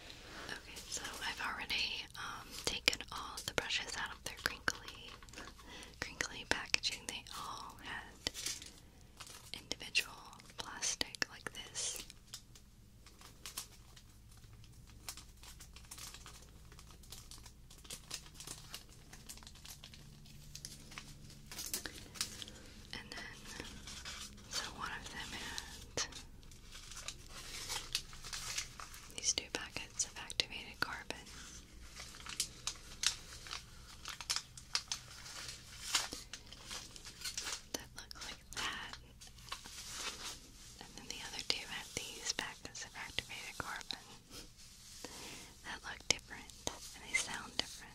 Okay, so I've already um, taken all the brushes out of their crinkly, crinkly packaging. They all had individual plastic like this. And then, so one of them had these two packets of activated carbon. That look like that. And then the other two had these packets of activated carbon that look different and they sound different.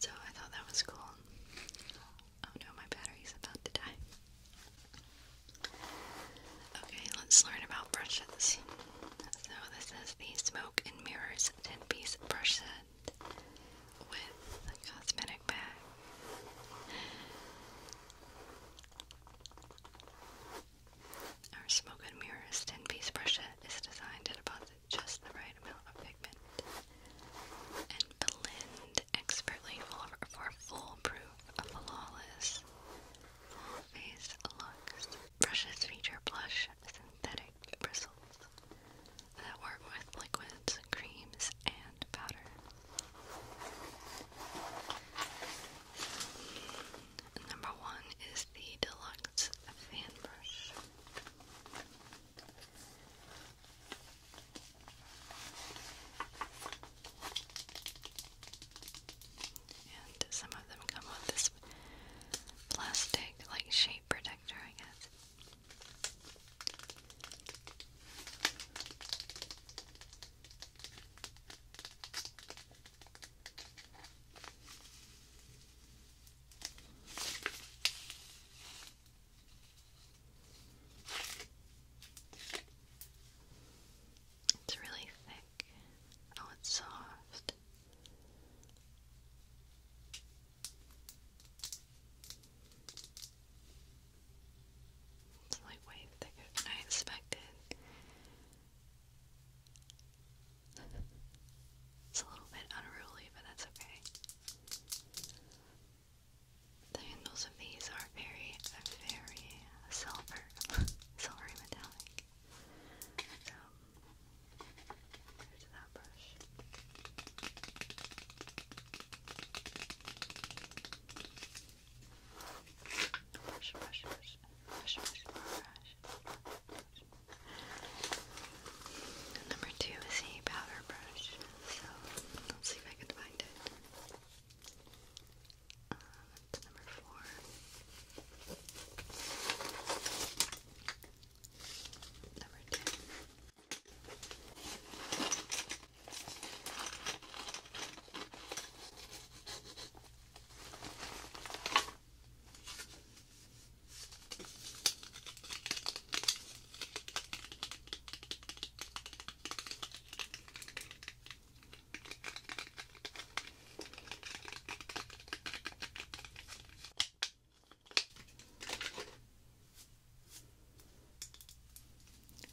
So I thought that was cool. Oh no, my battery's about to die. Okay, let's learn about brushes. So this is the Smoke and Mirrors 10-piece brush set with a cosmetic bag. Our Smoke and Mirrors 10-piece brush set is designed at about just the right amount of pigment and blend expertly for foolproof, flawless, full face looks. Brushes feature blush synthetic bristles that work with liquids, creams, and powder. Number one is the Deluxe Fan Brush. And some of them come with this plastic, like, shape protector, I guess. It's really thick. Oh, it's soft. It's like thicker than I expected. It's a little bit unruly, but that's okay. The handles of these are very, very silver, silvery metallic. So, um, there's that brush, brush, brush, brush, brush, brush. brush. Number two is a powder brush, so let's see if I can find it. Uh, number four. Number two.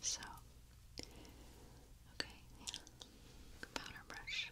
So, okay, yeah, powder brush,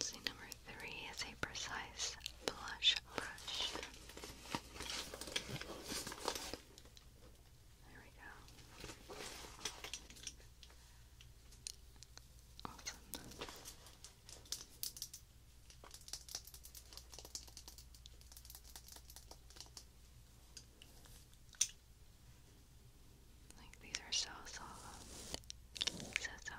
See, number three is a precise blush brush. There we go. Awesome. Like these are so soft. So soft. So soft.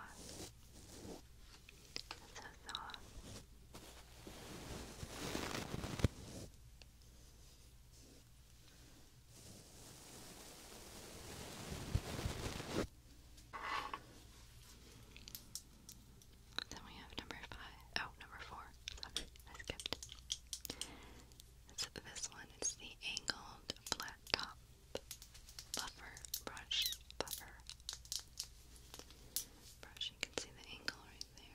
Then we have number five. Oh, number four. I skipped this one. is the angled flat top buffer brush buffer brush. You can see the angle right there.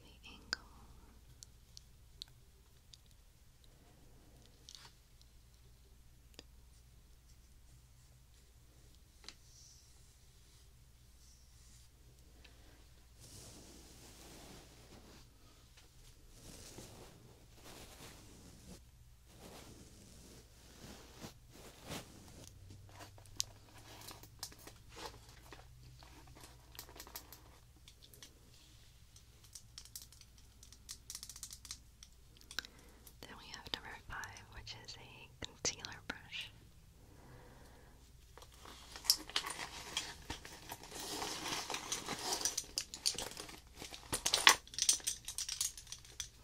The angle. Then we have number five, which is a concealer brush.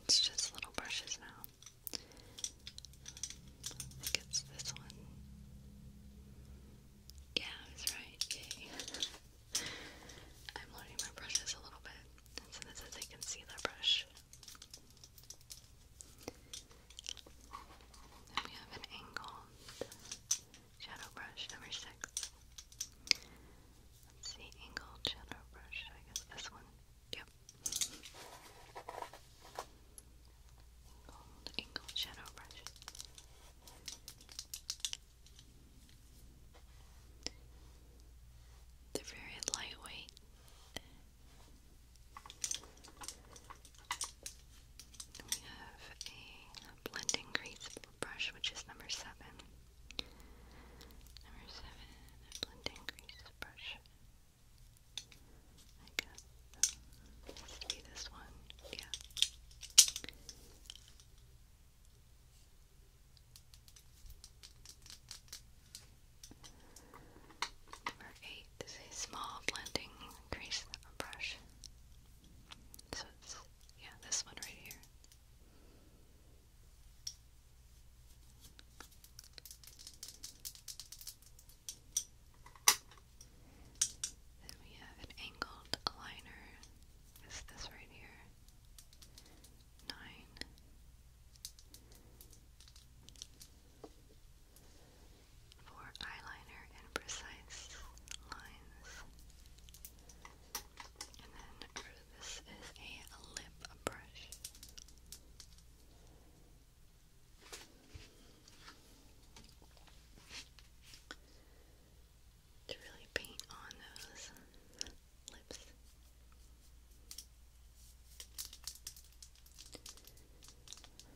It's just little brushes now. I think it's this one. Yeah, I right. Yay. I'm loading my brushes a little bit, and so this is a concealer brush we have an angled shadow brush, number six. Let's see, angled shadow brush. I guess this one. Yep. Angled, angled shadow brush. They're very lightweight we have a blending grease brush, which is number seven. Number seven, blending grease brush. I guess it this one. Yeah. Number 8 is a small blending crease brush. So it's, yeah, this one right here. Then we have an angled liner. Is this right here? Nine for eyeliner and precise lines. And then this is a lip brush. To really paint on those lips.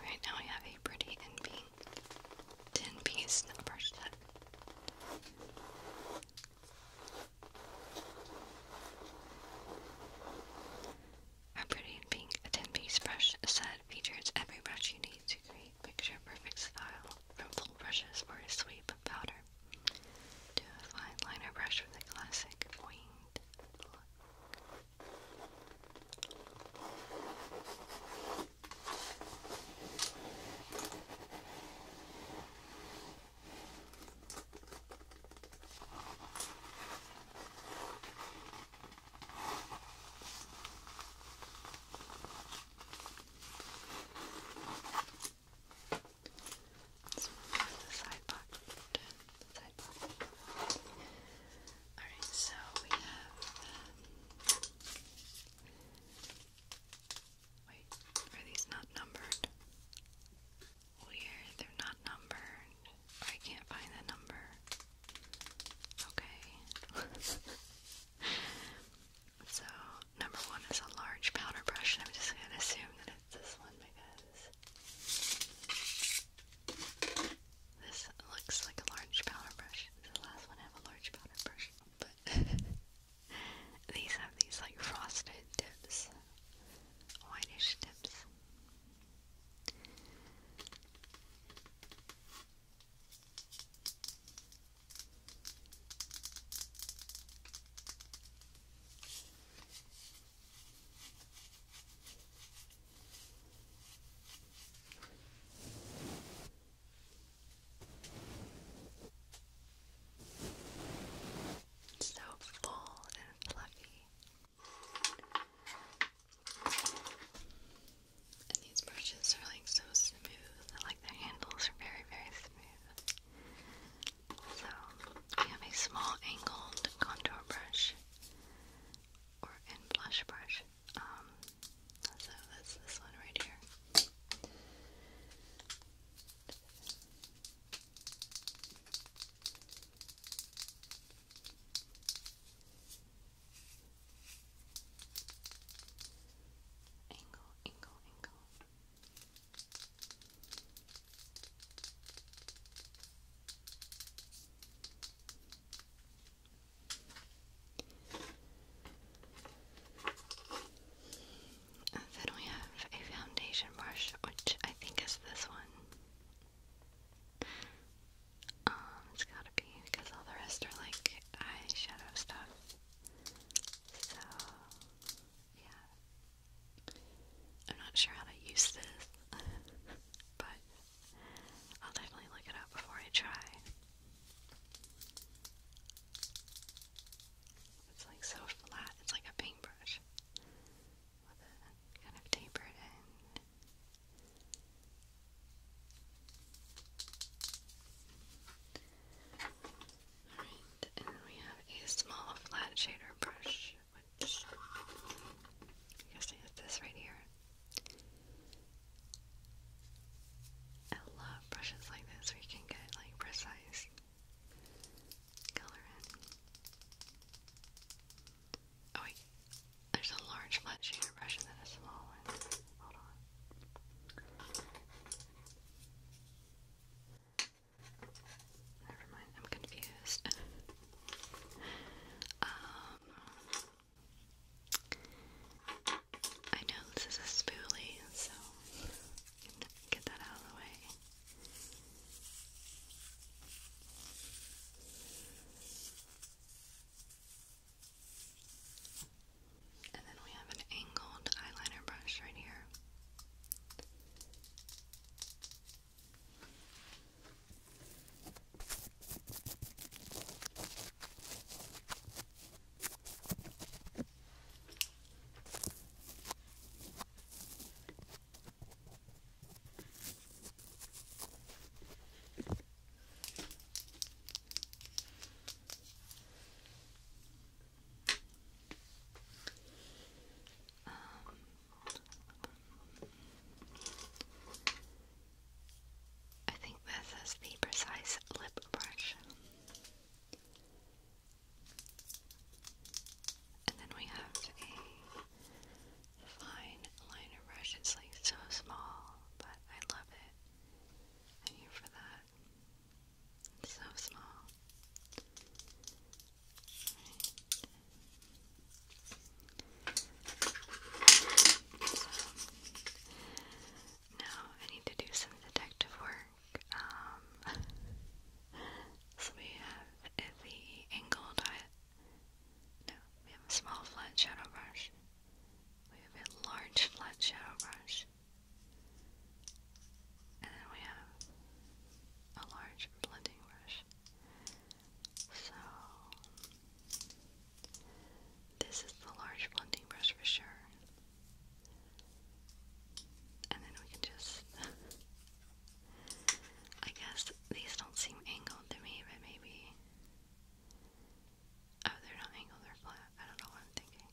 Right now I have a pretty and pink 10 piece number set. Our pretty pink 10-piece brush set features every brush you need to create picture-perfect style, from full brushes for a sweep of powder to a fine liner brush with a classic winged look. Let's so we have um, Wait, are these not numbered? Weird, they're not numbered. I can't find the number. Okay. so, number one is a large powder brush, I'm just gonna assume that it's this one because this looks like a large powder brush. The last one have a large powder brush, but these have these like frosted tips whitish tips. So full and fluffy. And these brushes are like so smooth. I like their handles are very, very smooth. So we have a small angled contour brush or in blush brush. Um, so that's this one right here. Angle, angle, angle then we have a foundation brush, which I think is this one. Um, it's gotta be because all the rest are like eyeshadow stuff. So, yeah. I'm not sure how to use this, but I'll definitely look it up before I try. It's like so flat, it's like a paintbrush kind of taper in. Alright, and then we have a small flat shader brush, which I guess this right here. I love brushes like this where you can get like precise Oh wait, there's a large flat shader brush and then a small one. Hold on. Never mind, I'm confused. um, I know this is a spoolie, so get that out of the way. And then we have an angled eyeliner brush right here. Um, I think this is the precise lip brush. And then we have a fine liner brush. It's like so small, but I love it. I'm for that. so small. now I need to do some detective work. Um, so we have the angled eye. No, we have a small flat shadow brush. We have a large flat shadow brush. And then we have a large blending brush. So, this is the large blending brush for sure. And then we can just I guess these don't seem angled to me, but maybe. Oh, they're not angled, they're flat. I don't know what I'm thinking.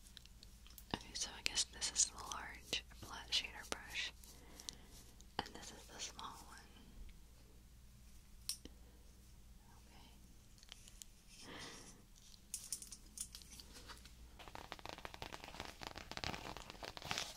Okay, so I guess this is the large flat shader brush, and this is the small one. Okay.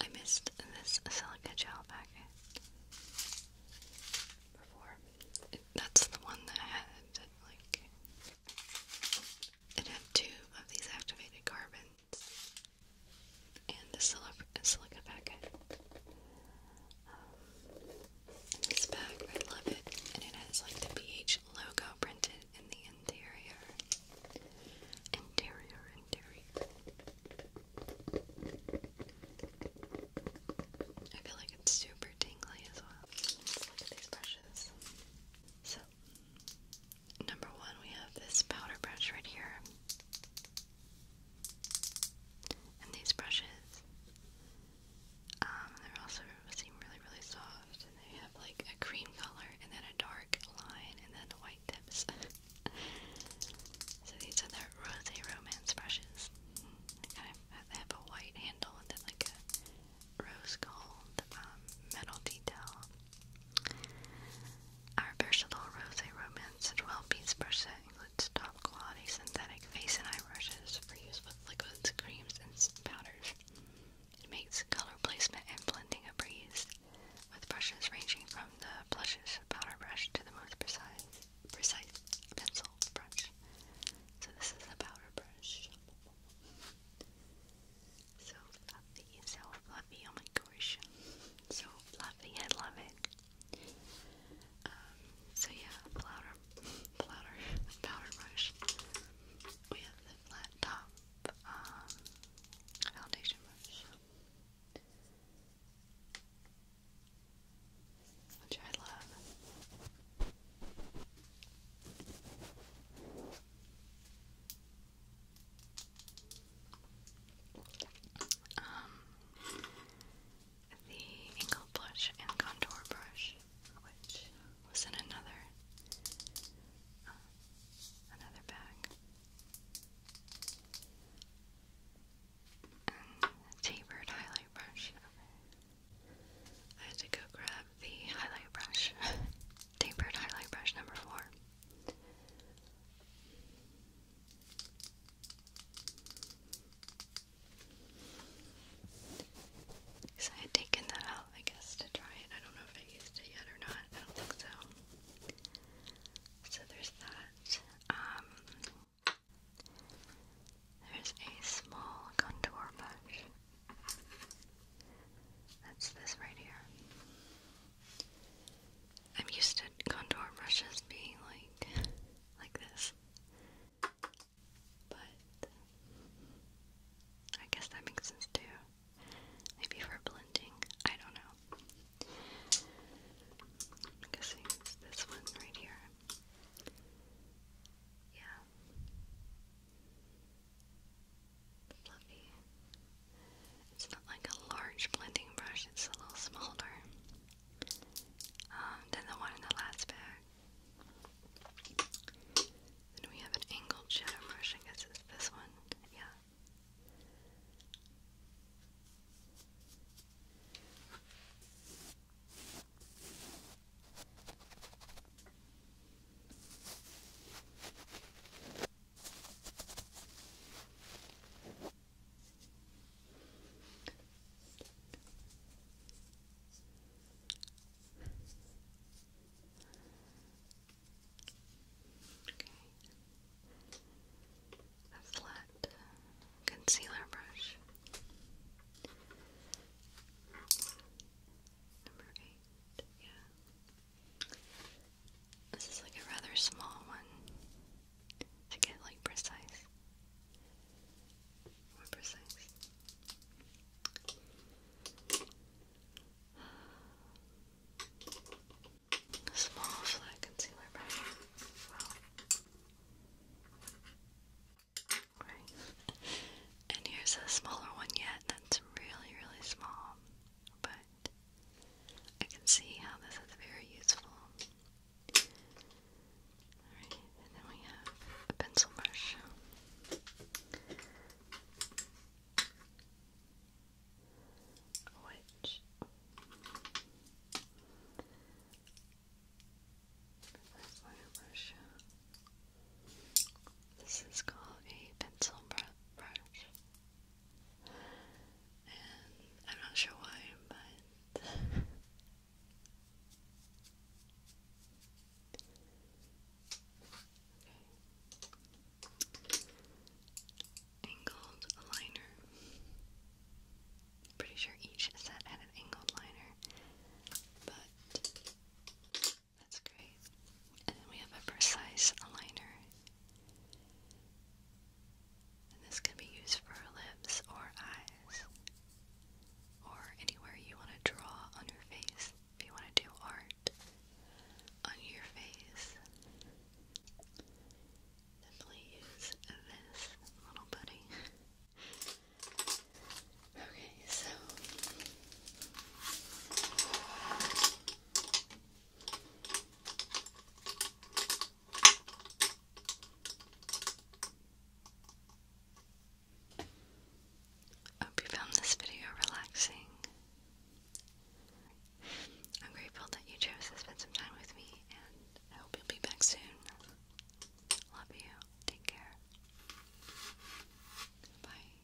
I missed this silica gel packet before. that's the one that had like it had two of these activated carbons and the silica, uh, silica packet. Um, this bag, I love it, and it has like the BH logo printed in the interior. Interior, interior. I feel like it's super tingly as well. these brushes. So Number one, we have this powder brush right here. And these brushes, um, they're also seem really, really soft, and they have like a cream color, and then a dark line, and then the white tips. so these are the Rose Romance brushes. They have, a white handle, and then like a rose gold um, metal detail. Our versatile rose romance 12 piece brush set includes top quality synthetic face and eye brushes for use with liquids, creams, and powders. It makes color placement and blending a breeze, with brushes ranging from the plushest powder brush to the most precise, precise pencil brush. So this is the powder brush. So fluffy, so fluffy, oh my gosh. So fluffy, I love it. Um, so yeah, powder, powder, powder brush with the flat top um, foundation brush. Which I love. Um, the Ingle Blush and Contour Brush, which was in another, uh, another bag. tapered highlight brush. I had to go grab the highlight brush tapered highlight brush number four. So I had taken that out, I guess, to try it. I don't know if I used it yet or not. I don't think so. So there's that. Um, there's a small contour brush. That's this right here. I'm used to contour brushes being like like this. But I guess that makes sense too. Maybe for blending. I don't know. I'm guessing this one right here. Yeah fluffy. It's not like a large blending brush, it's a little smaller um, than the one in the last bag. Then we have an angled shadow brush, I it's this one, yeah. A flat concealer brush. Number eight, yeah. This is like a rather small one to get like precise. More precise. small flat concealer brush. Right. and here's a smaller one yet that's really, really small but I can see how this is very useful. Alright, and then we have a pencil brush. Which Where's brush? This is called a pencil brush. I'm not sure why, but Angled liner. Pretty sure each set had an angled liner, but that's great. And then we have a precise aligner. And this can be used for lips or eyes. Or anywhere you want to draw on your face. If you want to do art on your face. Simply use this little buddy. okay, so I hope you found this video relaxing. I'm grateful that you chose to spend some time with me, and I hope you'll be back soon. Love you. Take care. Bye.